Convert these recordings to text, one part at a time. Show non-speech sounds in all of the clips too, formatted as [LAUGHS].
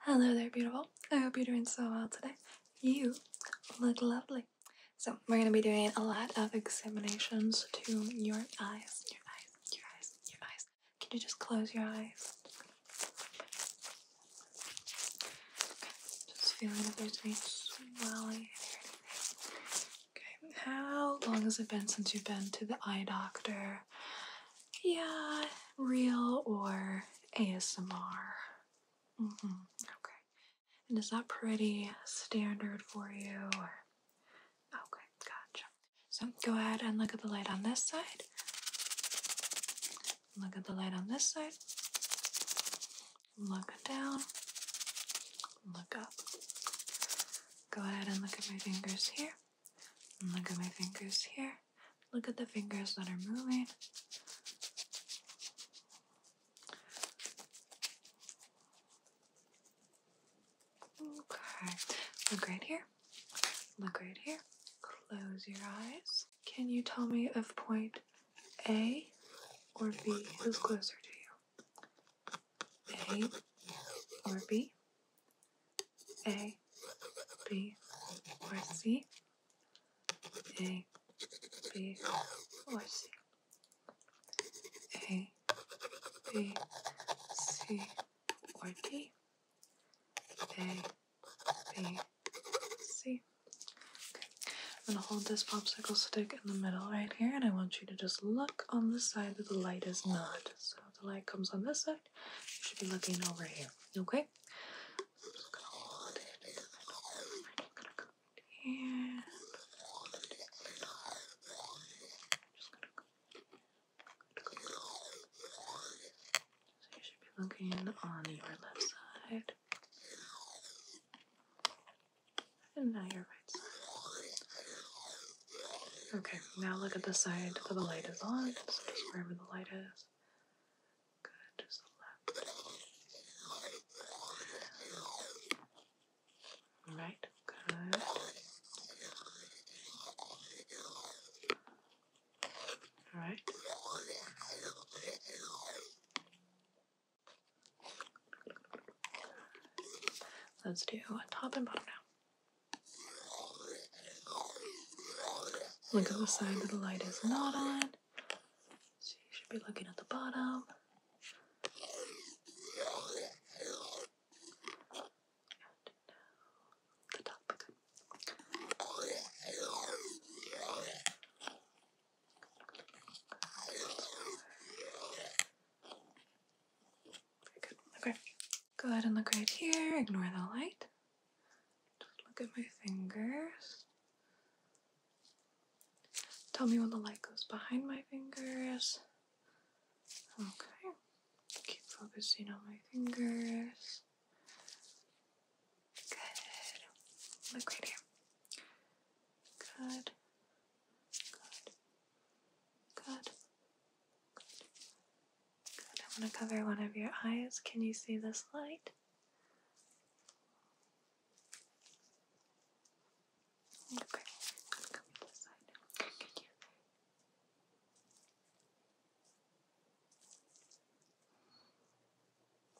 Hello there, beautiful. I hope you're doing so well today. You look lovely. So, we're going to be doing a lot of examinations to your eyes. Your eyes, your eyes, your eyes. Can you just close your eyes? just feeling a there's any swelling Okay, how long has it been since you've been to the eye doctor? yeah, real or ASMR. Mm-hmm, okay. And is that pretty standard for you? Okay, gotcha. So go ahead and look at the light on this side. Look at the light on this side. Look down. Look up. Go ahead and look at my fingers here look at my fingers here. Look at the fingers that are moving. Okay. Look right here. Look right here. Close your eyes. Can you tell me if point A or B is closer to you? A or B, A, B or C, A, B or C, A, B, C or D, A, B, C. Okay. I'm gonna hold this popsicle stick in the middle right here and I want you to just look on the side that the light is not. So the light comes on this side, you should be looking over here, okay? So you should be looking on your left side. Okay, now look at the side where the light is on. just wherever the light is. Good, just left. Right, good. Alright. Let's do a top and bottom now. Look at the side that the light is not on. So you should be looking at the bottom. The top. Okay. Go ahead and look right here. Ignore the light. Just look at my fingers. Tell me when the light goes behind my fingers. Okay. Keep focusing on my fingers. Good. Look right here. Good. Good. Good. Good. I'm to cover one of your eyes. Can you see this light? Okay.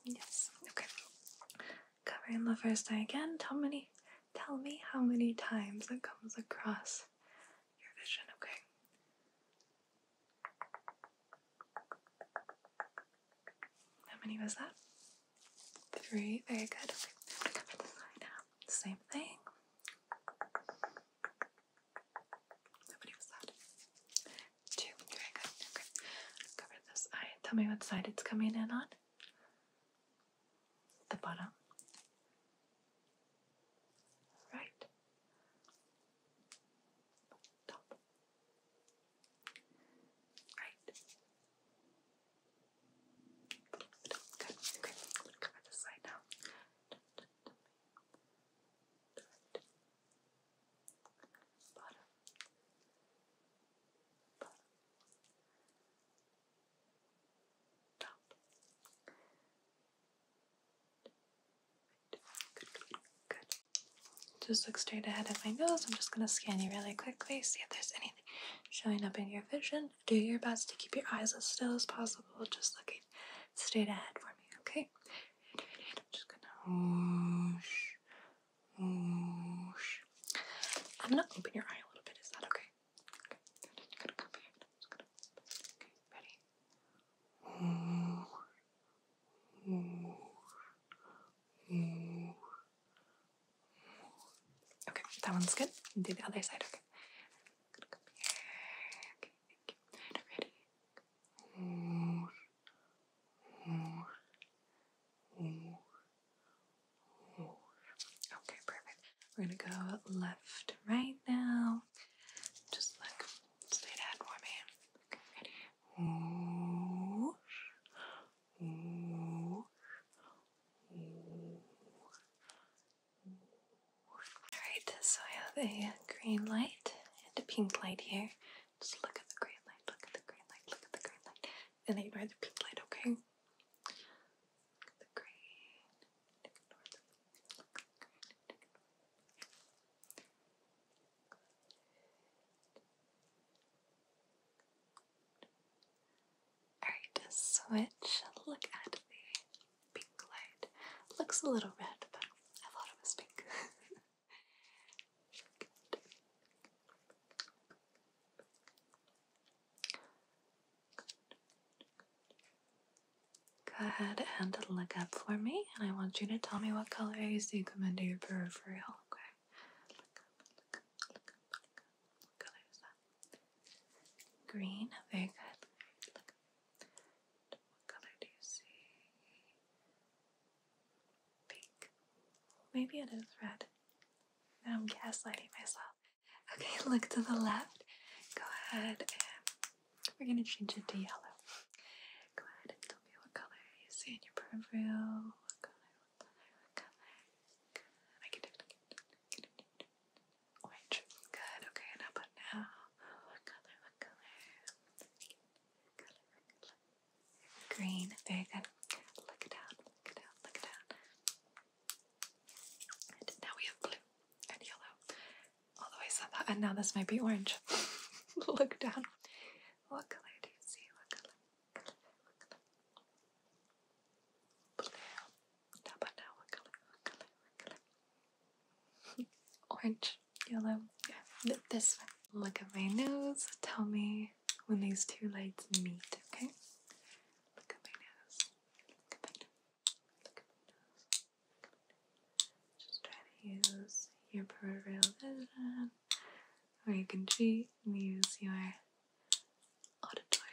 Yes, okay. Covering the first eye again. Tell me, tell me how many times it comes across your vision, okay? How many was that? Three. Very good. Same thing. How many was that? two. Very good. Okay. Cover this eye. Tell me what side it's coming in on. The bottom. Right. Top. Right. Good. Okay. Cover this side now. Just look straight ahead at my nose. I'm just gonna scan you really quickly, see if there's anything showing up in your vision. Do your best to keep your eyes as still as possible, just looking straight ahead for me, okay? I'm just gonna I'm gonna open your eye a little bit. Is that okay? Okay. Ready? Okay. That one's good. Do the other side. Okay. Okay. Ready? Okay, perfect. We're gonna go left, right now. Just like, straight ahead for me. Okay, ready? Alright, so I have a green light and a pink light here. Just look at the green light, look at the green light, look at the green light, and ignore the pink light, okay? Alright, switch, look at the pink light. Looks a little red, but I thought it was pink. [LAUGHS] Go ahead and look up for me, and I want you to tell me what color you see come into your peripheral. Okay. Green. Very good what color do you see? Pink. Maybe it is red. I'm gaslighting myself. Okay, [LAUGHS] look to the left. Go ahead and we're gonna change it to yellow. Go ahead and tell me what color you see in your peripheral. Orange. Good. Okay, and how now? What color? What color? Green. Very good. Look it Look it Look it And now we have blue and yellow. Although I said that, and now this might be orange. [LAUGHS] Look down. What color do you see? What color? Blue what color? What color? What color? Orange, yellow. Yeah, this one. Look at my nose. Tell me when these two lights meet. Okay. Look at my nose. Look at my nose. Look at my nose. Just try to use your peripheral vision, or you can cheat and use your auditory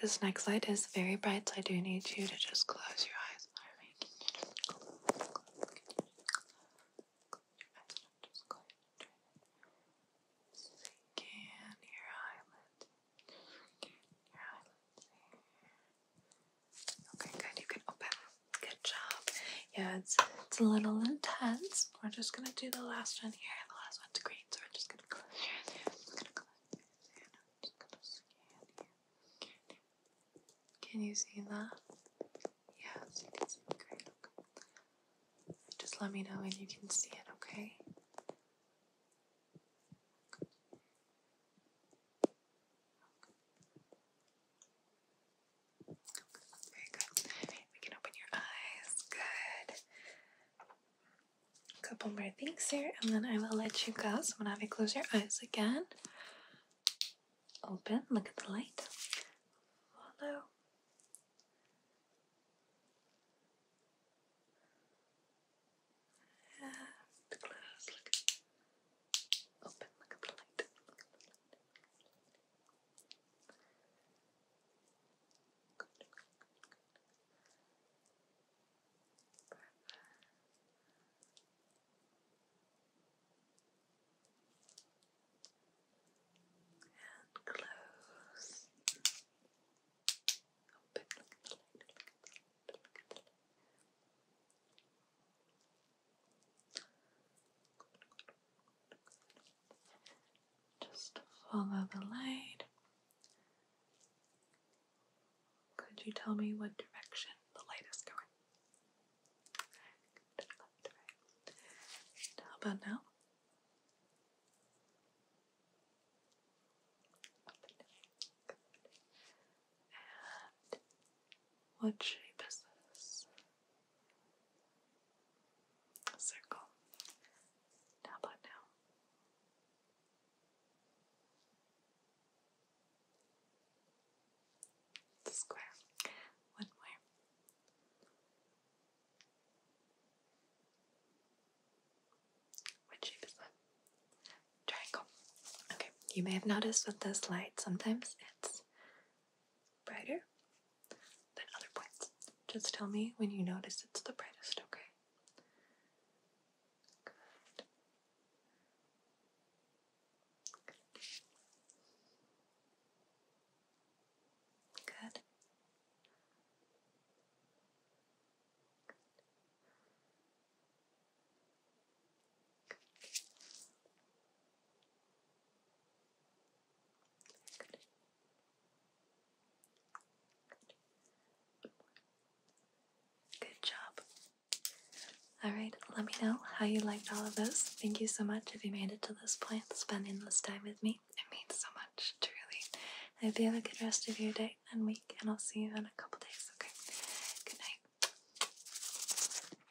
this next light is very bright, so I do need you to just close your eyes for me. Can your eyelids. Okay, good. You can open. Good job. Yeah, it's, it's a little intense. We're just gonna do the last one here. The last one to green so I'm just gonna close I'm gonna close your eyes I'm just gonna scan here. Can you see that? Yes, you can see it. Great. Okay. Just let me know when you can see it, okay? okay. Okay. Very good. We can open your eyes. Good a couple more things here and then I will let you go. So I'm gonna have you close your eyes again. Open, look at the light. Follow. And Good, good, And close. Just follow the light. Could you tell me what direction the light is going? how about now? And what shape is this? circle. How now? square. One more. What shape is that? Triangle. Okay, you may have noticed with this light sometimes it's brighter than other points. Just tell me when you notice it's the brightest, okay? Good. Good. Good. job. Alright, let me know how you liked all of those. Thank you so much if you made it to this point, spending this time with me. It means so much, truly. I hope you have a good rest of your day and week, and I'll see you in a couple days, okay? Good night.